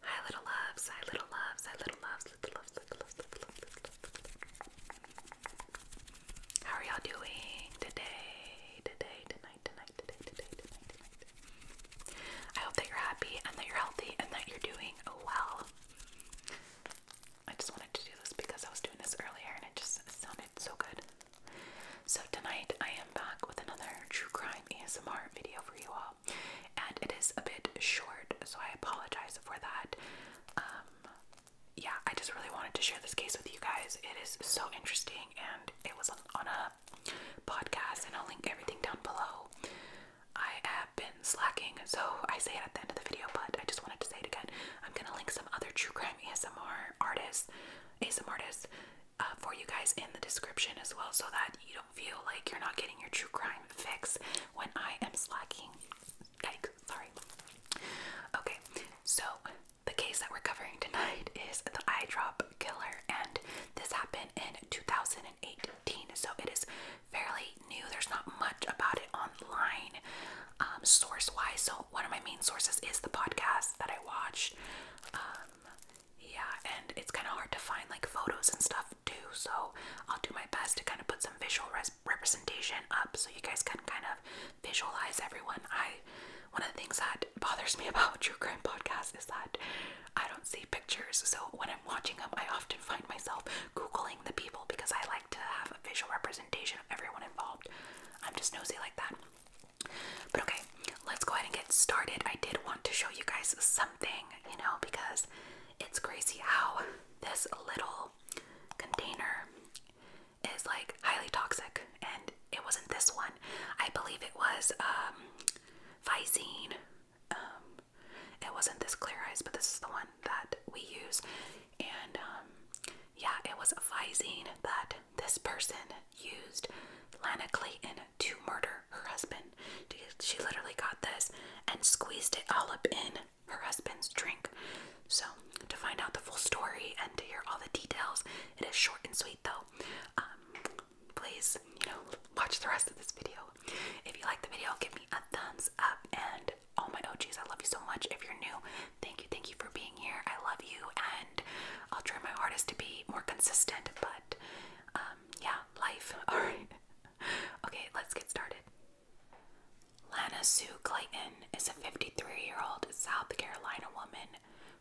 Hi little loves, hi little loves, hi little loves, little loves, little loves, little loves, How are y'all doing today, today, tonight, tonight, today, today, tonight, tonight? I hope that you're happy and that you're healthy and that you're doing well. I just wanted to do this because I was doing this earlier and it just sounded so good. So tonight I am back with another true crime ASMR video for you all and it is a bit short, so I apologize for that. Um, yeah, I just really wanted to share this case with you guys. It is so interesting, and it was on, a podcast, and I'll link everything down below. I have been slacking, so I say it at the end of the video, but I just wanted to say it again. I'm gonna link some other true crime ASMR artists, ASMR artists, uh, for you guys in the description as well, so that you don't do feel like you're not getting your true crime fix when I am slacking. Like, sorry. Okay, so the case that we're covering tonight is the eye drop killer, and this happened in 2018, so it is fairly new. There's not much about it online, um, source wise. So, one of my main sources is the podcast that I watched. Um, um, yeah, and it's kind of hard to find like photos and stuff too, so I'll do my best to kind of put some visual representation up so you guys can kind of visualize everyone. I one of the things that bothers me about true crime podcast is that I don't see pictures, so when I'm watching them, I often find myself googling the people because I like to have a visual representation of everyone involved. I'm just nosy like that. But okay, let's go ahead and get started. I did want to show you guys something, you know, because it's crazy how this little container is like highly toxic. And it wasn't this one, I believe it was um, um it wasn't this clear eyes, but this is the one that we use. And um, yeah, it was Visine that this person used Lana Clayton to murder her husband. She literally got this and squeezed it all up in her husband's drink. So, to find out the full story and to hear all the details, it is short and sweet though. Um, please, you know, watch the rest of this video. If you like the video, give me a thumbs up. And all my OGs, I love you so much. If you're new, thank you, thank you for being here. I love you. And I'll try my hardest to be more consistent, but um, yeah, life. Alright. okay, let's get started. Lana Sue Clayton is a 53 year old South Carolina woman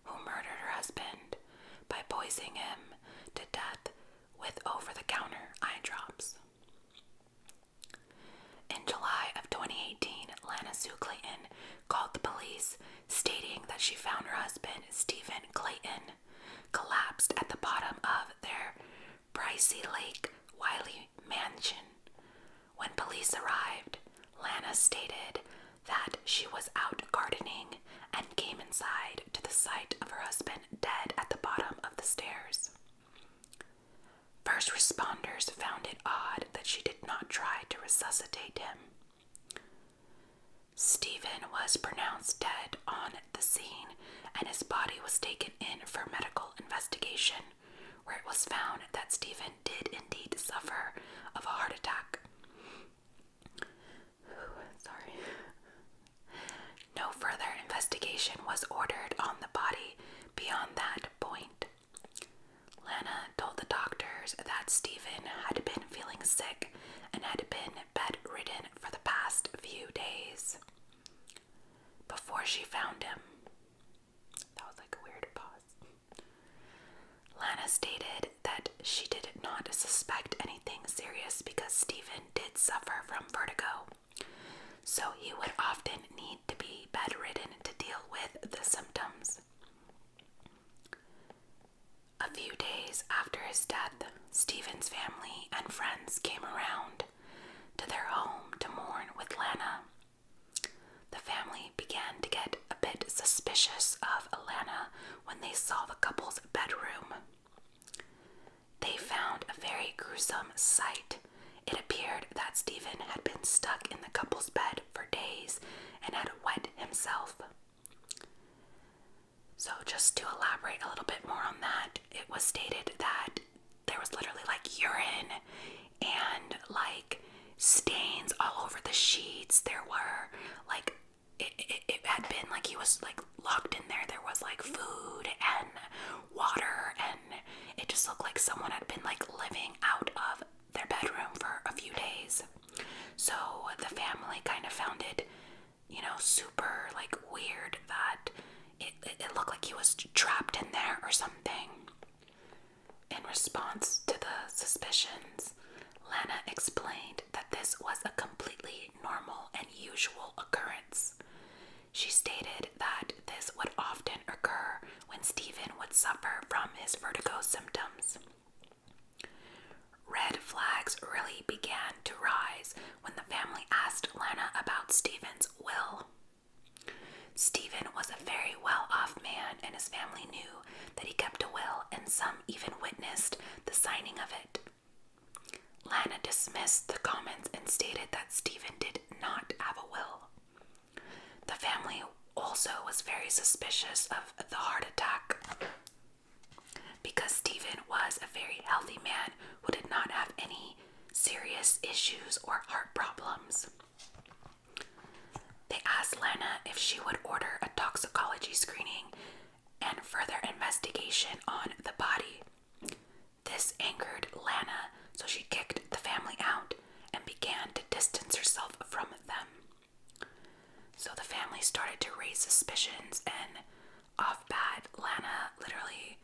who murdered her husband by poisoning him to death with over the counter eye drops. In July of 2018, Lana Sue Clayton called the police stating that she found her husband, Stephen Clayton, collapsed at the bottom of their Pricey Lake Wiley mansion. When police arrived, Lana stated that she was out gardening and came inside to the sight of her husband dead at the bottom of the stairs. First responders found it odd that she did not try to resuscitate him. Stephen was pronounced dead on the scene, and his body was taken in for medical investigation, where it was found that Stephen did indeed suffer of a heart attack. sorry. No further investigation was ordered on the body beyond that point. Lana told the doctors that Stephen had been feeling sick and had been bedridden for the past few days before she found him. That was like a weird pause. Lana stated that she did not suspect anything serious because Stephen did suffer from vertigo, so he would often need to be bedridden to deal with the symptoms. A few days after his death, Stephen's family and friends came around to their home to mourn with Lana. The family began to get a bit suspicious of Alana when they saw the couple's bedroom. They found a very gruesome sight. It appeared that Stephen had been stuck in the couple's bed for days and had wet himself. So, just to elaborate a little bit more on that, it was stated that there was literally like urine and like stains all over the sheets. There were like, it had been like he was like locked in there. There was like food and water, and it just looked like someone had been like living out of their bedroom for a few days. So the family kind of found it, you know, super like weird that it, it, looked like he was trapped in there or something. In response to the suspicions, Lana explained that this was a completely normal and usual occurrence. She stated that this would often occur when Stephen would suffer from his vertigo symptoms. Red flags really began to rise when the family asked Lana about Stephen's will. Stephen was a very well off man, and his family knew that he kept a will, and some even witnessed the signing of it. Lana dismissed the comments and stated that Stephen did not have a will. The family also was very suspicious of the heart attack because Stephen was a very healthy man who did not have any serious issues or heart problems. They asked Lena if she would order a toxicology screening and further investigation on the body. This angered Lana, so she kicked the family out and began to distance herself from them. So the family started to raise suspicions, and off bad Lana literally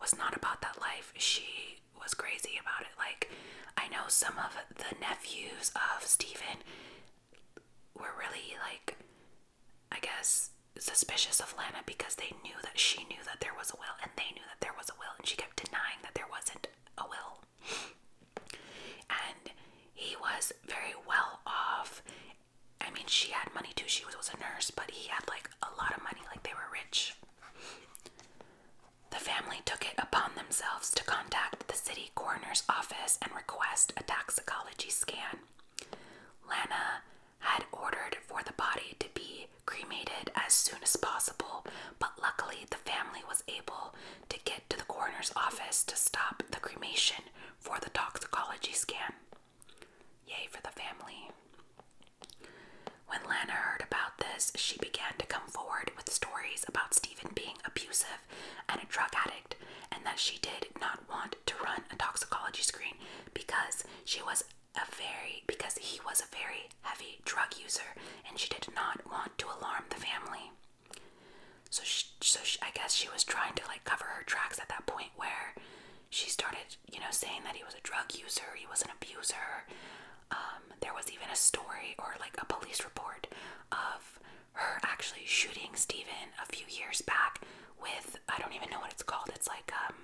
was not about that life. She was crazy about it. Like, I know some of the nephews of Stephen were really, like, I guess, suspicious of Lana because they knew that she knew that there was a will, and they knew that there was a will, and she kept denying that there wasn't a will. and he was very well off. I mean, she had money too. She was a nurse, but he had like a lot of money, like they were rich. The family took it upon themselves to contact the city coroner's office and request a toxicology scan. Lana had ordered for the body to be cremated as soon as possible, but luckily the family was able to get to the coroner's office to stop the cremation for the toxicology scan. Yay for the family. When Lana heard about this, she began to come forward with stories about Stephen being abusive and a drug addict, and that she did not want to run a toxicology screen because she was a very because he was a very heavy drug user and she did not want to alarm the family so she, so she, i guess she was trying to like cover her tracks at that point where she started you know saying that he was a drug user he was an abuser um, there was even a story or like a police report of her actually shooting steven a few years back with i don't even know what it's called it's like um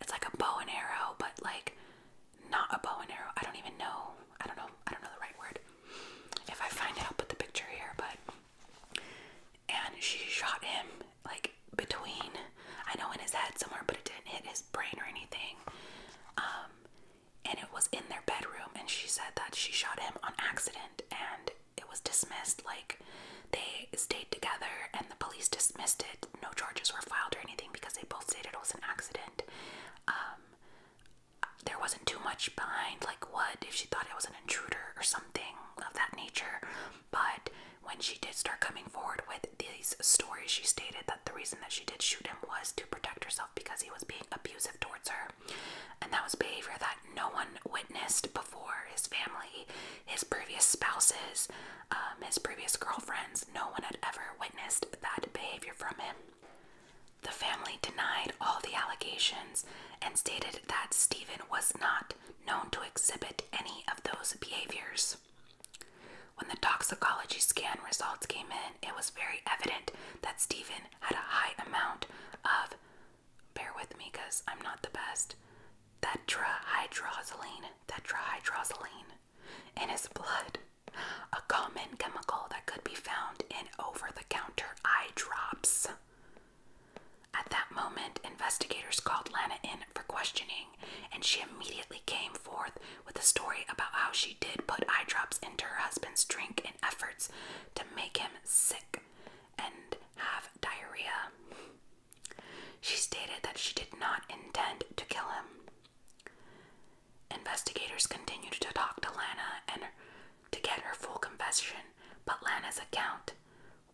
it's like a bow and arrow, but like not a bow and arrow. I don't even know. I don't know. I don't know the right word. If I find it, I'll put the picture here. But and she shot him like between, I know in his head somewhere, but it didn't hit his brain or anything. Um, and it was in their bedroom, and she said that she shot him on accident, and it was dismissed like they stayed together and the police dismissed it. No charges were filed or anything because they both stated it was an accident. Um, there wasn't too much behind, like what if she thought it was an intruder or something of that nature. But when she did start coming forward with these stories, she stated that the reason that she did shoot him was to protect herself because he was being abusive towards her. And that was behavior that no one witnessed before his family his previous spouses, um, his previous girlfriends, no one had ever witnessed that behavior from him. The family denied all the allegations and stated that Stephen was not known to exhibit any of those behaviors. When the toxicology scan results came in, it was very evident that Stephen had a high amount of bear with me because I'm not the best. That Tetrahydrozoline, tetrahydrozoline, in his blood, a common chemical that could be found in over the counter eye drops. At that moment, investigators called Lana in for questioning, and she immediately came forth with a story about how she did put eye drops into her husband's drink in efforts to make him sick, and have diarrhea. She stated that she did not intend to kill him. Investigators continued to talk to Lana and to get her full confession, but Lana's account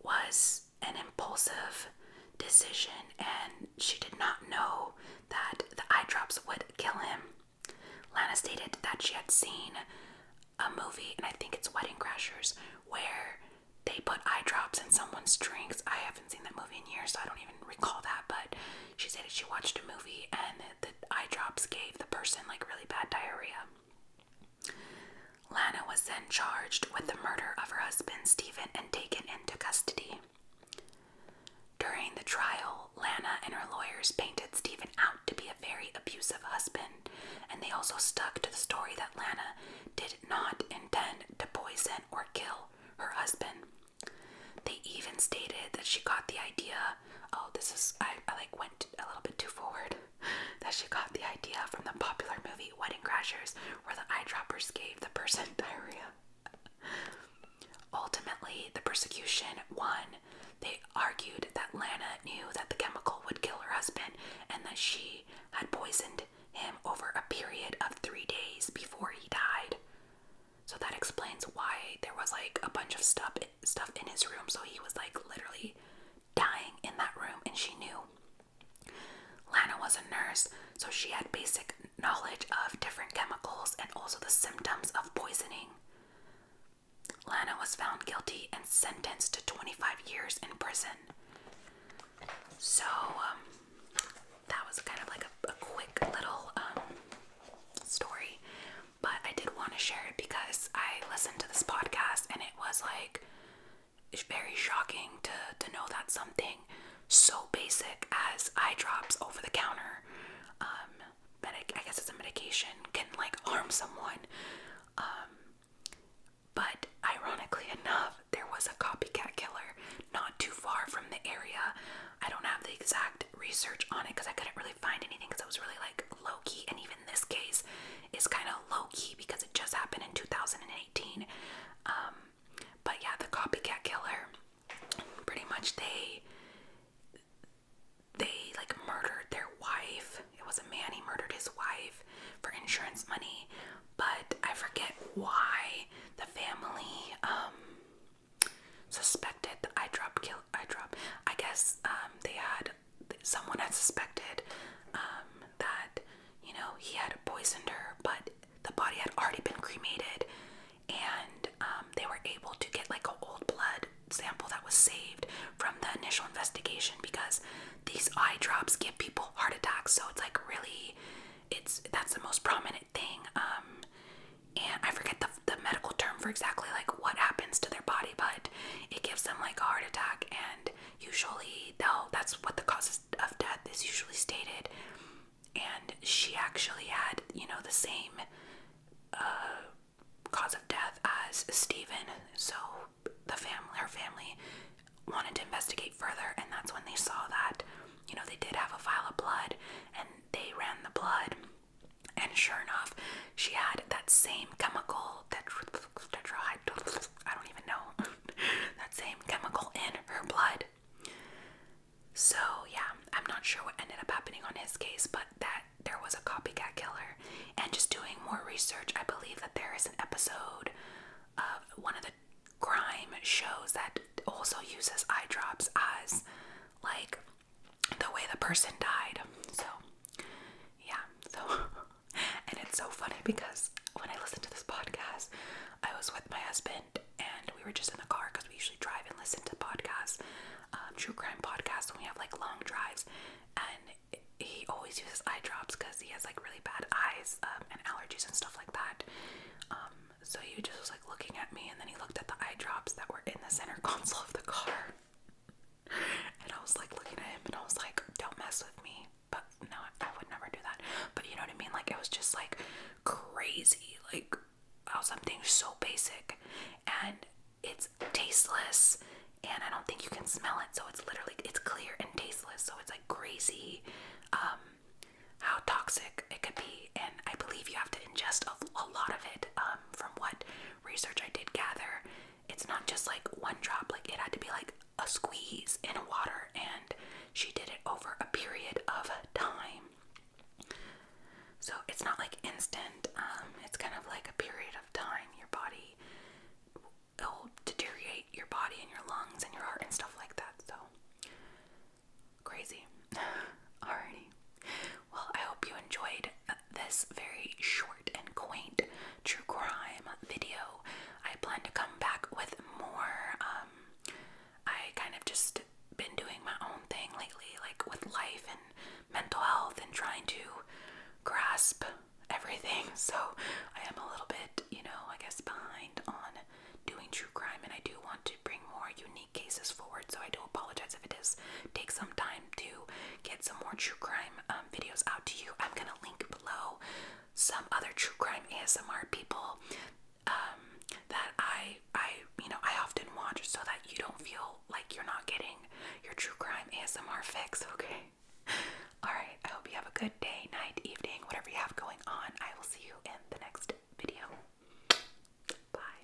was an impulsive decision and she did not know that the eye drops would kill him. Lana stated that she had seen a movie, and I think it's Wedding Crashers, where they put eye drops in someone's drinks. I haven't seen that movie in years, so I don't even recall that. But she said she watched a movie and the eye drops gave the person like really bad diarrhea. Lana was then charged with the murder of her husband, Stephen, and taken into custody. During the trial, Lana and her lawyers painted Stephen out to be a very abusive husband and they also stuck to the story that Lana did not intend to poison or kill her husband. They even stated that she got the idea. Oh, this is I, I like went a little bit too forward. That she got the idea from the popular movie Wedding Crashers, where the eyedroppers gave the person diarrhea. Ultimately, the persecution won, they argued that Lana knew that the chemical would kill her husband and that she had poisoned him over a period of three days before he died. So that explains why there was like a bunch of stuff stuff in his room. So he was like literally dying in that room, and she knew. Lana was a nurse, so she had basic knowledge of different chemicals and also the symptoms of poisoning. Lana was found guilty and sentenced to 25 years in prison. So um, that was kind of like a, quick little um, story, but I did want to share it because I listened to this podcast and it was like it's very shocking to to know that something so basic as eye drops over the counter um, medic I guess it's a medication can like harm someone. Um, but ironically enough, there was a copycat killer not too far from the area. I don't have the exact research on it because I couldn't really find anything because it was really like low key. And even this case is kind of low key because it just happened in 2018. Um, but yeah, the copycat killer pretty much they they like murdered their wife. It was a man, he murdered his wife for insurance money, but I forget why the family um, suspected I eye drop kill eye drop. I guess um, they had someone had suspected um, that you know he had poisoned her, but the body had already been cremated and they were able to get like a old blood sample that was saved from the initial investigation because these eye drops give people heart attacks. So it's like really, it's that's the most prominent thing. Um, and I forget the the medical term for exactly like what happens to their body, but it gives them like a heart attack. And usually, though, that's what the cause of death is usually stated. And she actually had, you know, the same. Uh, cause of death as Stephen. So the family, her family, wanted to investigate further, and that's when they saw that, you know, they did have a vial of blood, and they ran the blood, and sure enough, she had that same chemical that I don't even know that same chemical in her blood. So yeah, I'm not sure what ended up happening on his case, but that there was a copycat killer. And just doing more research, I believe that there is an episode of one of the crime shows that also uses eye drops as like the way the person died. So, yeah. So, and it's so funny because when I listened to this podcast, I was with my husband and we were just in the car because we usually drive and listen to podcasts um, true crime podcast, when we have like long drives, and he always uses eye drops because he has like really bad eyes um, and allergies and stuff like that. Um, so he just was like looking at me, and then he looked at the eye drops that were in the center console of the car, and I was like looking at him, and I was like, "Don't mess with me." But no, I would never do that. But you know what I mean? Like it was just like crazy, like of something so basic and it's tasteless and I don't think you can smell it so it's literally it's clear and tasteless so it's like crazy um, how toxic it could be and I believe you have to ingest a, a lot of it um, from what research I did gather it's not just like one drop like it had to be like a squeeze in water and she did it over a period of time so it's not like instant, um, it's kind of like a period of time. Your body will deteriorate your body and your lungs and your heart and stuff like that. So crazy. Alrighty. Well, I hope you enjoyed uh, this very short and quaint true crime video. I plan to come back with more um, I kind of just been doing my own thing lately, like with life and mental health and trying to grasp everything. So I am a little bit, you know, I guess behind on doing true crime, and I do want to bring more unique cases forward. So I do apologize if it does take some time to get some more true crime um, videos out to you. I'm gonna link below some other true crime ASMR people um, that I I you know I often watch so that you don't feel like you're not getting your true crime ASMR fix. Okay. All right. I hope you have a good day, night, evening, whatever you have going on. I will see you in the next video. Bye.